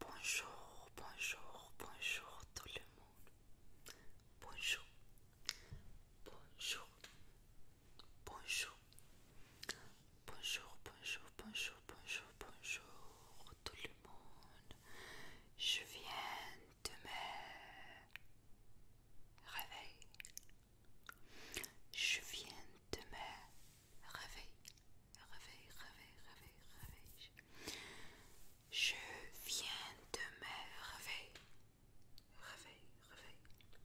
Bonjour, bonjour, bonjour tout le monde. Bonjour, bonjour, bonjour, bonjour, bonjour, bonjour, bonjour, bonjour tout le monde. Je viens de me réveiller. Je viens de me réveiller, réveiller, réveiller, réveiller, Je viens de me réveiller, réveiller, réveiller.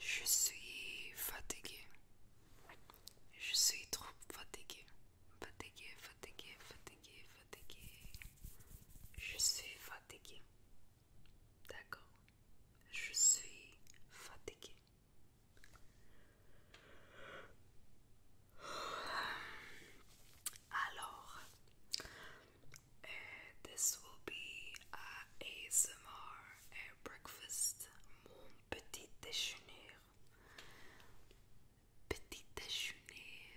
Je suis fatiguée. Je suis trop fatiguée. Fatiguée, fatiguée, fatiguée, fatiguée. Je suis fatiguée. D'accord. Je suis fatiguée. Alors, euh, this will be a ASMR breakfast, mon petit déjeuner. Petit déjeuner,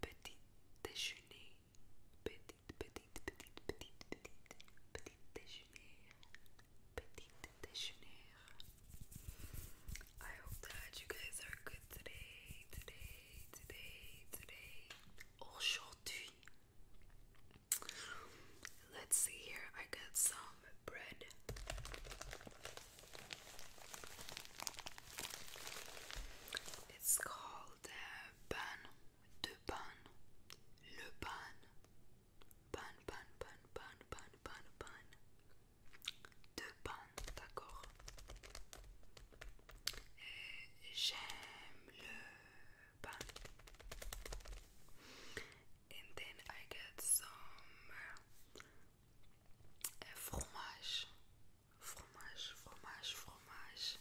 petit déjeuner, petite, petite, petite, petite, petite, petite déjeuner, petite déjeuner. I hope that you guys are good today, today, today, today. Aujourd'hui. Let's see here. I got some bread. It's called uh, ban de pan, le pan, pan, pan, pan, pan, pan, pan, pan, de pan, d'accord. J'aime le pan. And then I get some euh, fromage, fromage, fromage, fromage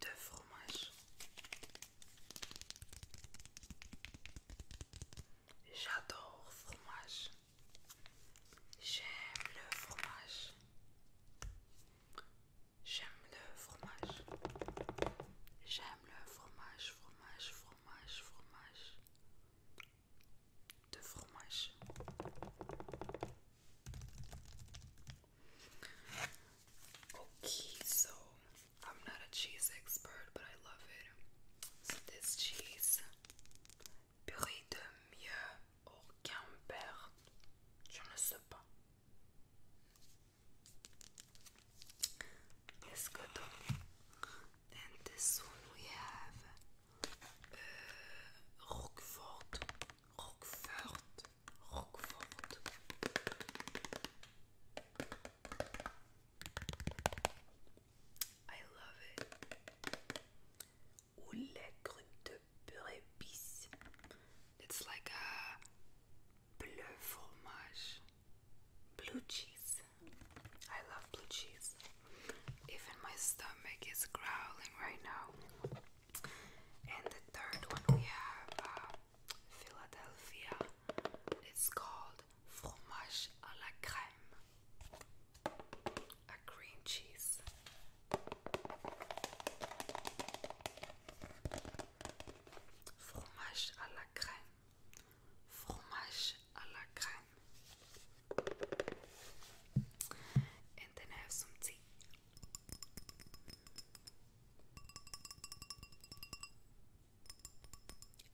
de fromage. J'adore fromage. J'aime le fromage. J'aime le fromage. J'aime le fromage, fromage, fromage, fromage. De fromage. Okay, so I'm not a cheese expert, but I love it. this cheese, purée de mieux au camembert, je ne sais pas. It's good. And this one we have euh, Roquefort, Roquefort, Roquefort. I love it. Ou Grüne It's like a bleu fromage. Blue cheese. I love blue cheese. Even my stomach is growling right now. And the third one we have uh, Philadelphia. It's called fromage à la crème. A cream cheese. Fromage à la crème. Fromage à la crème. And then I have some tea.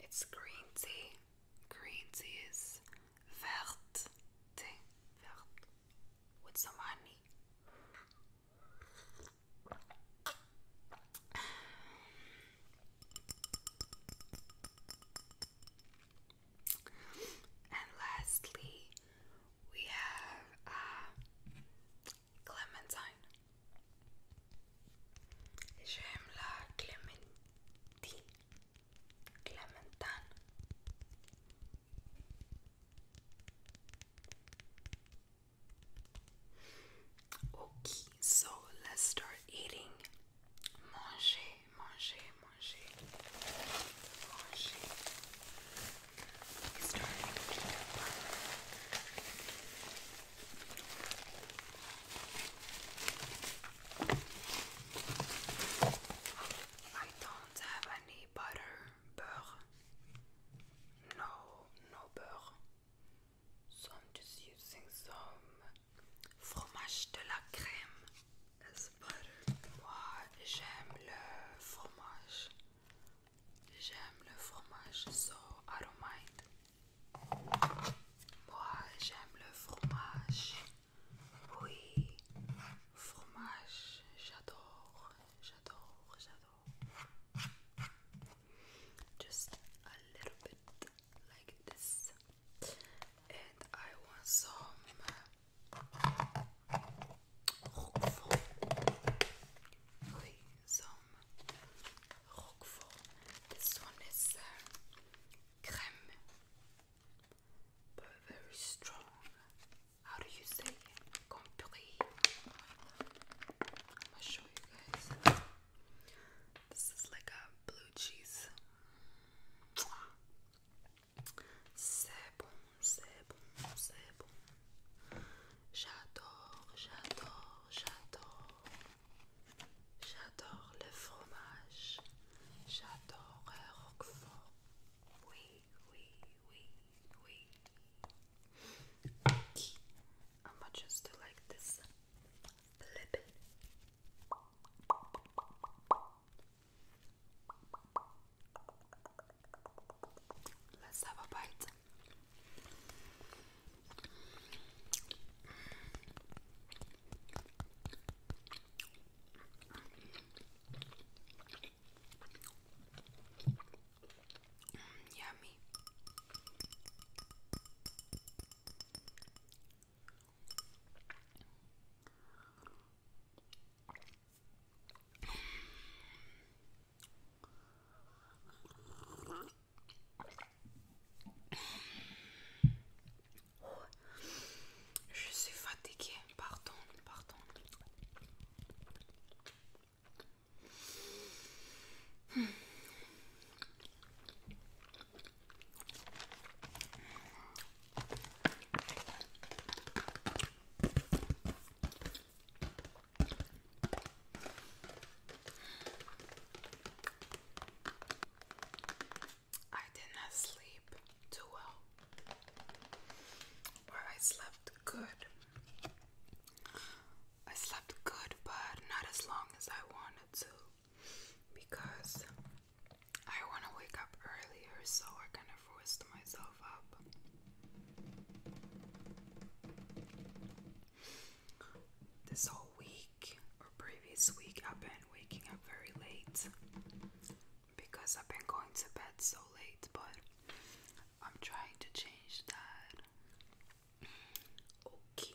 It's green tea. Green tea is vert tea. With some honey. And lastly, we have uh, Clementine. J'aime la Clémentine. Clementine. Okay, so let's start eating. Manger, manger. I don't have any butter, beurre. No, no beurre. So I'm just using some fromage de la crème. butter. Moi, j'aime le fromage. J'aime le fromage, so I don't mind. Moi, j'aime le fromage. Oui, fromage, j'adore, j'adore, j'adore. Just a little bit like this. And I want some Roquefort. This one is uh, but very strong. How do you say it? I'm gonna show you guys. This is like a blue cheese. C'est bon, c'est bon, c'est bon. J'adore, j'adore, j'adore. J'adore le fromage. J'adore le roquefort. Oui, oui, oui, oui. I'm just like this. Flip it. Let's have a bite. Mm, yummy. Je suis fatiguée, pardon, pardon. I did not sleep too well, or I slept good. I slept good, but not as long as I wanted to because I want to wake up earlier, so we're gonna forced myself up. This whole week or previous week, I've been waking up very late because I've been going to bed so late, but I'm trying to change that. Okay.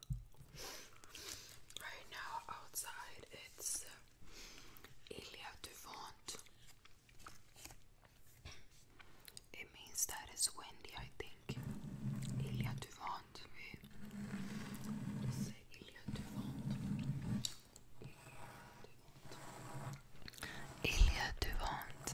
Right now outside it's uh, Ilya Duvant. It means that it's windy, I think. Ilya Duvant. Say Duvant. Ilya Duvant.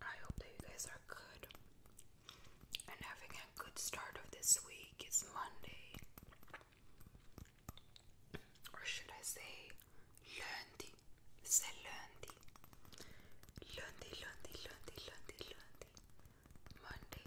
I hope that you guys are good and having a good start of this week. It's Monday, or should I say, lundi? Say lundi, lundi, lundi, lundi, lundi, lundi, Monday.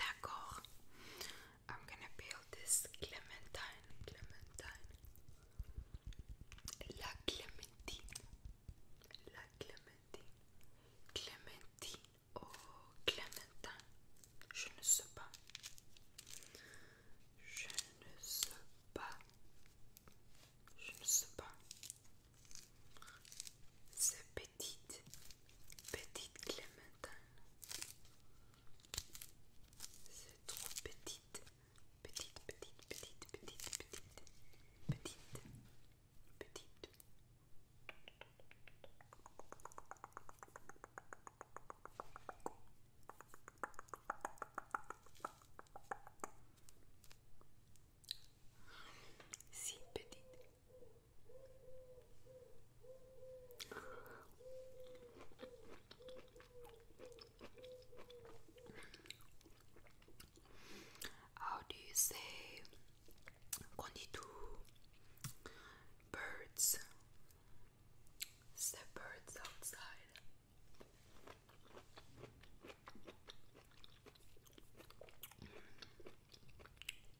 D'accord. I'm gonna build this clementine, clementine. La clementine, la clementine, clementine, oh clementine. Je ne sais pas. Je ne sais pas. Je ne sais pas. C'est petite, petite Clémentine. C'est trop petite, petite, petite, petite, petite, petite, petite, petite. Si petite. How do you say konnitu? Birds. It's the birds outside.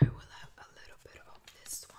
I will have a little bit of this one.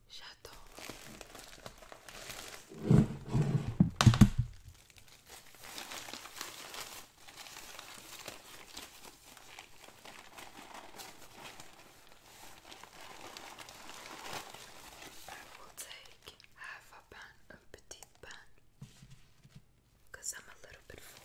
J'attends. I will take half a pan, a petite pan, I'm a little bit full.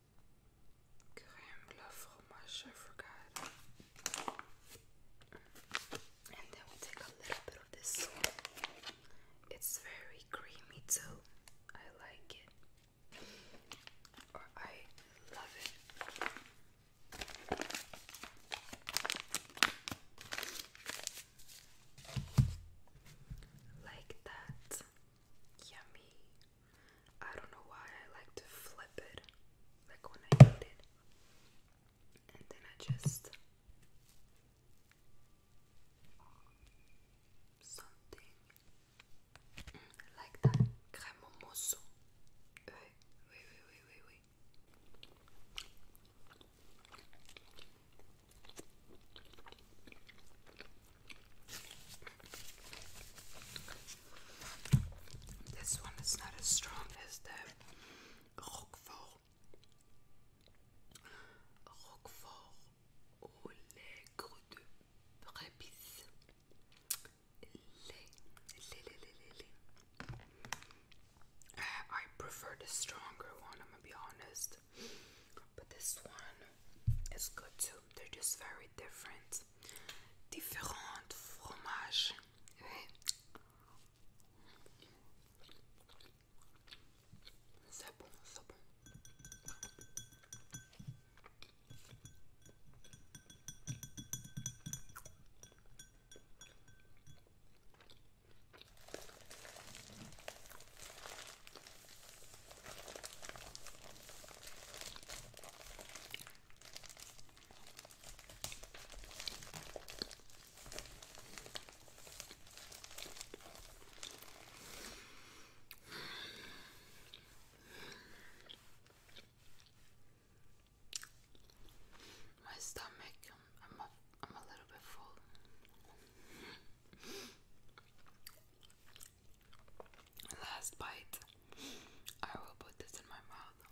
crème la fromage, I forgot. And then we take a little bit of this It's very creamy too. I like it. Or I love it. Like that. Yummy. I don't know why I like to flip it like when I eat it. And then I just something like that. Crème au mousson. Oui, oui, oui, oui, oui, this one is not as strong as the Roquefort. Roquefort au de prépice. Uh, I prefer the stronger one, I'm gonna be honest. But this one is good too they're just very different. Different fromage. C'est bon, c'est bon. My stomach, I'm a little bit full. Last bite. I will put this in my mouth.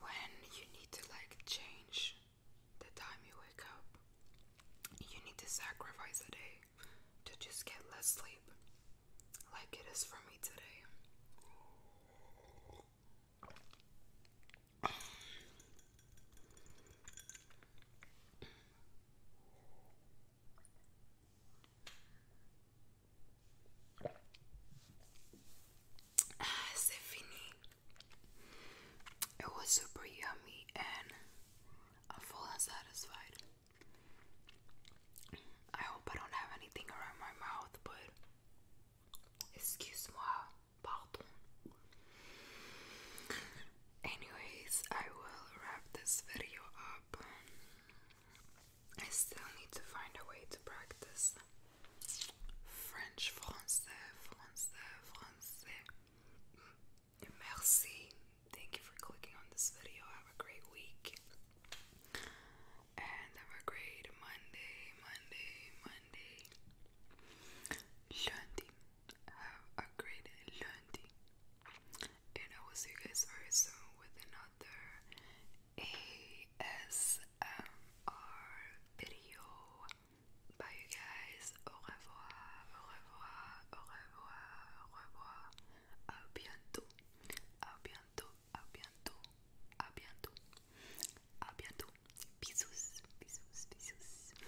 When you need to like change the time you wake up, you need to sacrifice a day to just get less sleep, like it is for me today. Ah, it was super yummy and I'm full and satisfied. I hope I don't have anything around my mouth, but excuse moi, pardon. Anyways, I will wrap this video up. I still need to find a way to practice French, France, français, français. Merci. Thank you for clicking on this video. Have a great week. And have a great Monday, Monday, Monday. Lundi have a great Lundi, and I will see you guys very soon with another ASMR video. Bye, you guys. Au revoir, au revoir, au revoir, au revoir. A bientôt, a bientôt, a bientôt, a bientôt, a bientôt. Bisous, bisous, bisous.